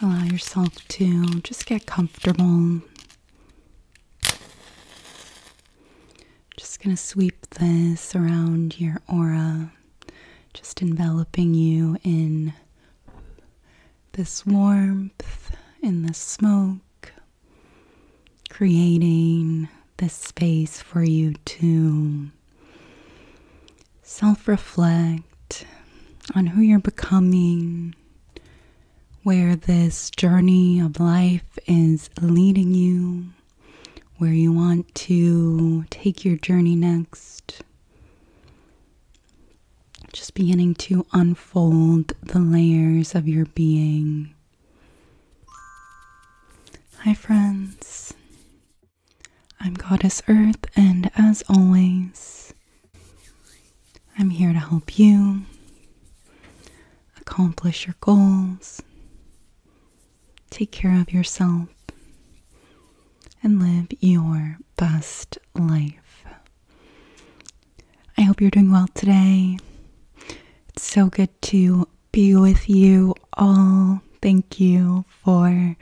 Allow yourself to just get comfortable. Just going to sweep this around your aura, just enveloping you in this warmth, in the smoke, creating this space for you to Self reflect on who you're becoming, where this journey of life is leading you, where you want to take your journey next. Just beginning to unfold the layers of your being. Hi, friends. I'm Goddess Earth, and as always, I'm here to help you accomplish your goals, take care of yourself, and live your best life. I hope you're doing well today. It's so good to be with you all. Thank you for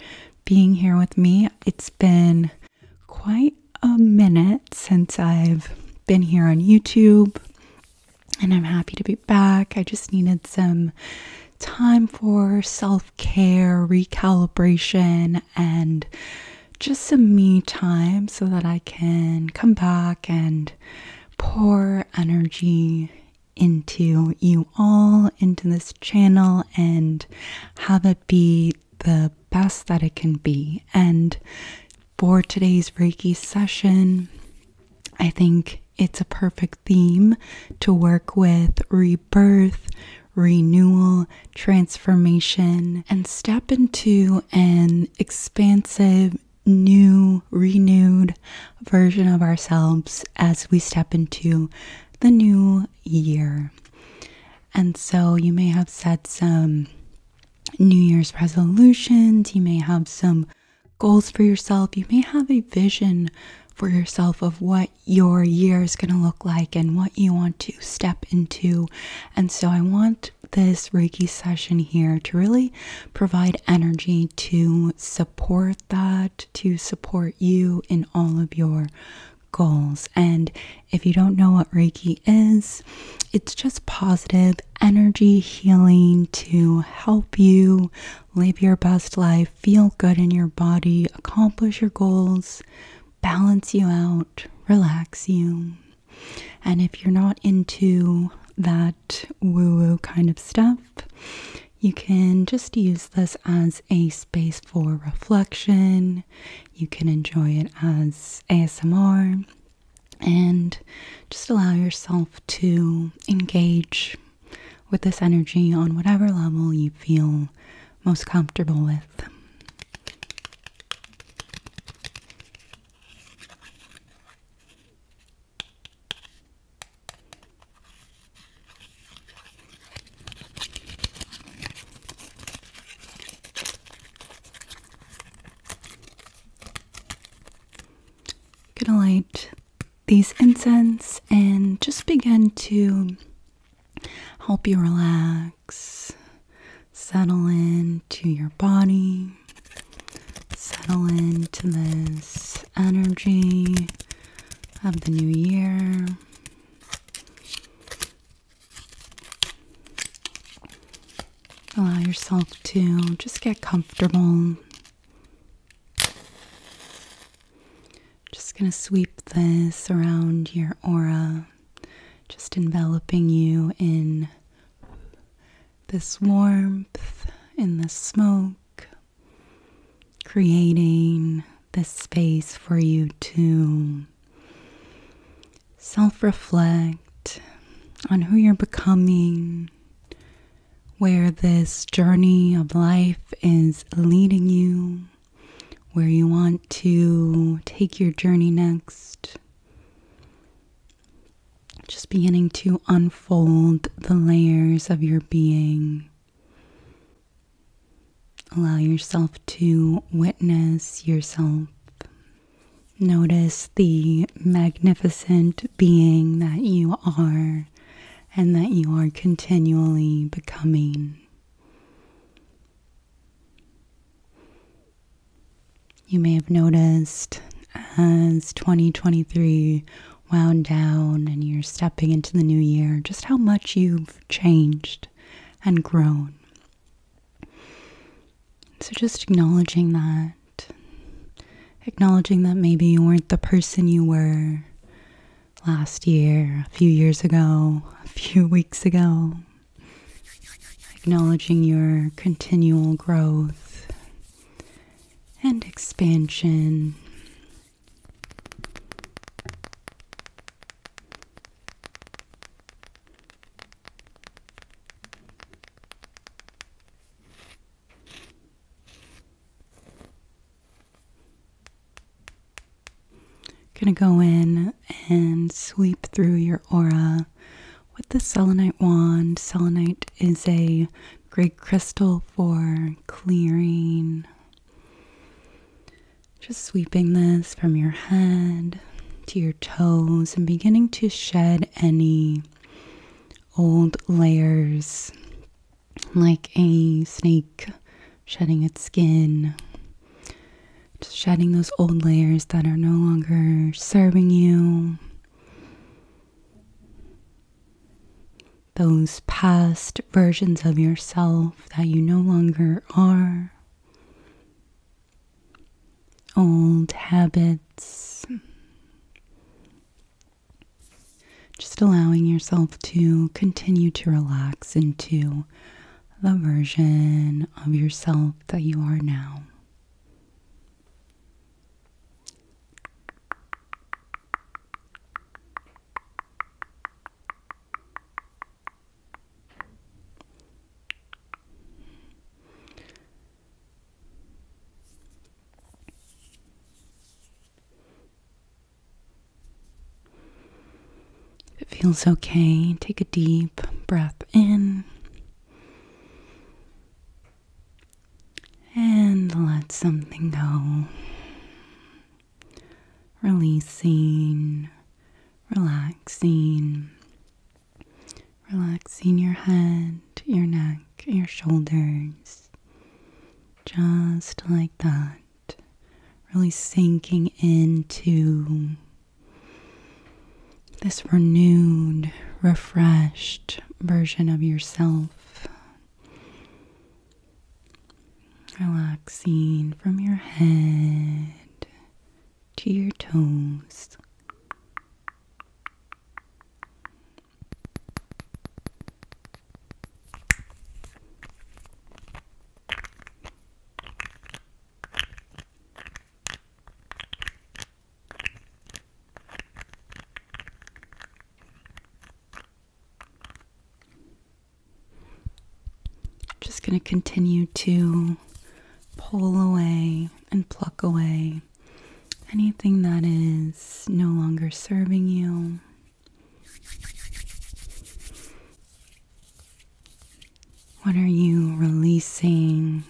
being here with me. It's been quite a minute since I've been here on YouTube, and I'm happy to be back. I just needed some time for self care, recalibration, and just some me time so that I can come back and pour energy into you all, into this channel, and have it be the best that it can be. And for today's Reiki session, I think it's a perfect theme to work with rebirth, renewal, transformation, and step into an expansive, new, renewed, version of ourselves as we step into the new year. And so you may have set some New Year's resolutions, you may have some goals for yourself, you may have a vision for yourself of what your year is going to look like and what you want to step into. And so I want this Reiki session here to really provide energy to support that to support you in all of your goals. And if you don't know what Reiki is, it's just positive energy healing to help you live your best life, feel good in your body, accomplish your goals, balance you out, relax you. And if you're not into that woo woo kind of stuff. You can just use this as a space for reflection. You can enjoy it as ASMR and just allow yourself to engage with this energy on whatever level you feel most comfortable with. I'm gonna light these incense and just begin to help you relax, settle into your body settle into this energy of the new year. Allow yourself to just get comfortable. Just going to sweep this around your aura, just enveloping you in this warmth and the smoke, creating this space for you to self reflect on who you're becoming, where this journey of life is leading you, where you want to take your journey next. Just beginning to unfold the layers of your being. Allow yourself to witness yourself. Notice the magnificent being that you are and that you are continually becoming. You may have noticed as 2023 wound down and you're stepping into the new year, just how much you've changed and grown. So, just acknowledging that, acknowledging that maybe you weren't the person you were last year, a few years ago, a few weeks ago, acknowledging your continual growth, and expansion. Going to go in and sweep through your aura with the selenite wand. Selenite is a great crystal for clearing. Just sweeping this from your head to your toes and beginning to shed any old layers like a snake shedding its skin. Just shedding those old layers that are no longer serving you those past versions of yourself that you no longer are, old habits. Just allowing yourself to continue to relax into the version of yourself that you are now. If it feels okay, take a deep breath in and let something go. Releasing, relaxing, relaxing your head, your neck, your shoulders, just like that. Really sinking into this renewed, refreshed version of yourself. Relaxing from your head to your toes. Just going to continue to pull away and pluck away anything that is no longer serving you. What are you releasing?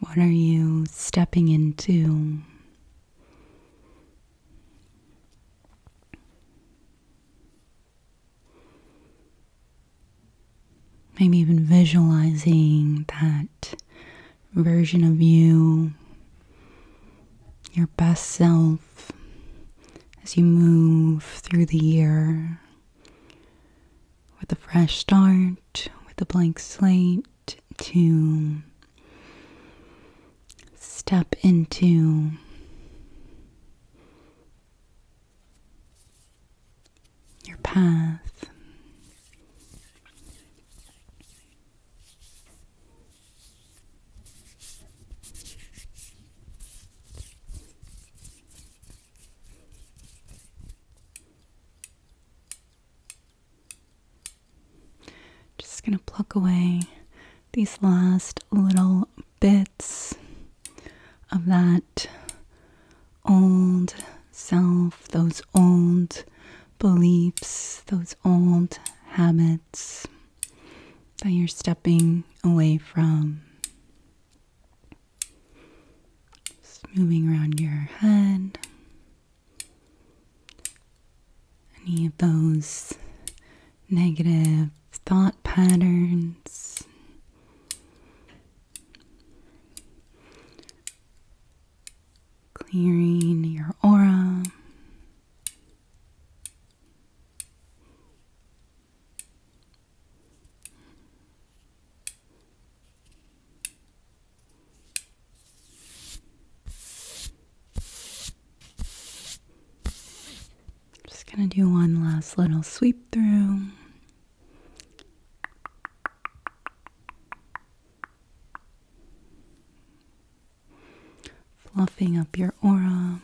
What are you stepping into? Maybe even visualizing that version of you, your best self, as you move through the year with a fresh start, with a blank slate to step into. Your path. Just going to pluck away these last little bits of that old self, those old beliefs, those old habits that you're stepping away from. Just moving around your head. Any of those negative thought patterns. Clearing your aura. Just going to do one last little sweep through fluffing up your aura.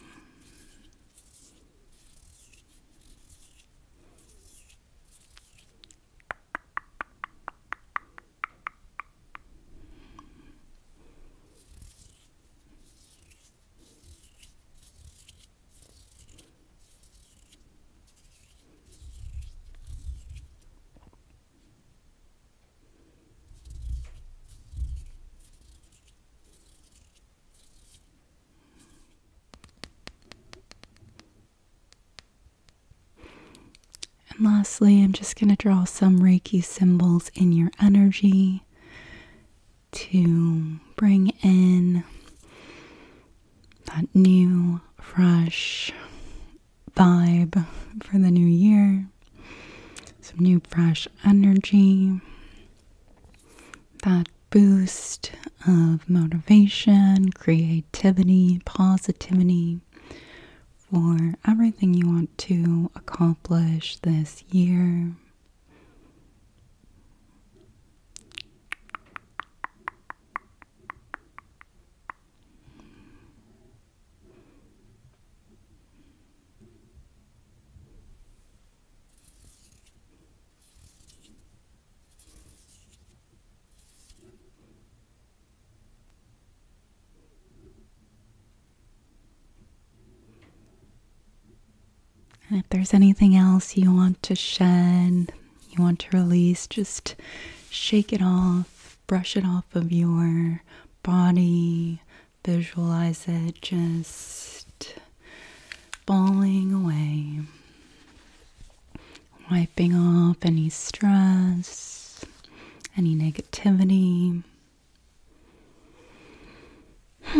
And lastly, I'm just going to draw some Reiki symbols in your energy to bring in that new, fresh vibe for the new year, some new fresh energy, that boost of motivation, creativity, positivity for everything you want to accomplish this year if there's anything else you want to shed, you want to release, just shake it off, brush it off of your body. Visualize it just falling away, wiping off any stress, any negativity,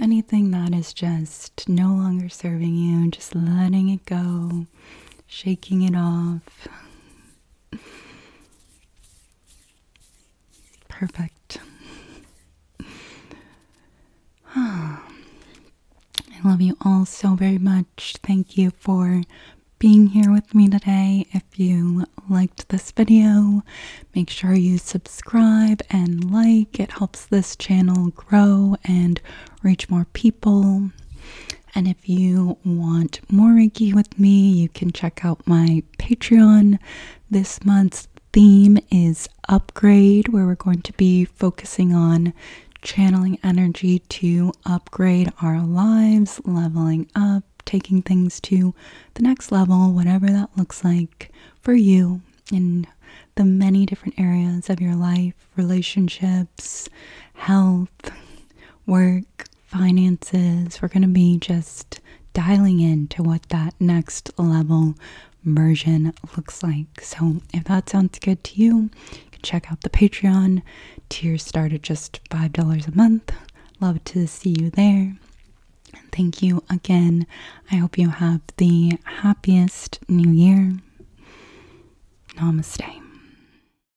anything that is just no longer serving you, just letting it go, shaking it off. Perfect. I love you all so very much. Thank you for being here with me today. If you liked this video, make sure you subscribe and like. It helps this channel grow and reach more people. And if if you want more Reiki with me, you can check out my Patreon. This month's theme is upgrade, where we're going to be focusing on channeling energy to upgrade our lives, leveling up, taking things to the next level, whatever that looks like for you in the many different areas of your life relationships, health, work, finances. We're going to be just dialing into what that next level version looks like. So, if that sounds good to you, you can check out the Patreon. Tiers start at just $5 a month. Love to see you there. thank you again. I hope you have the happiest new year. Namaste.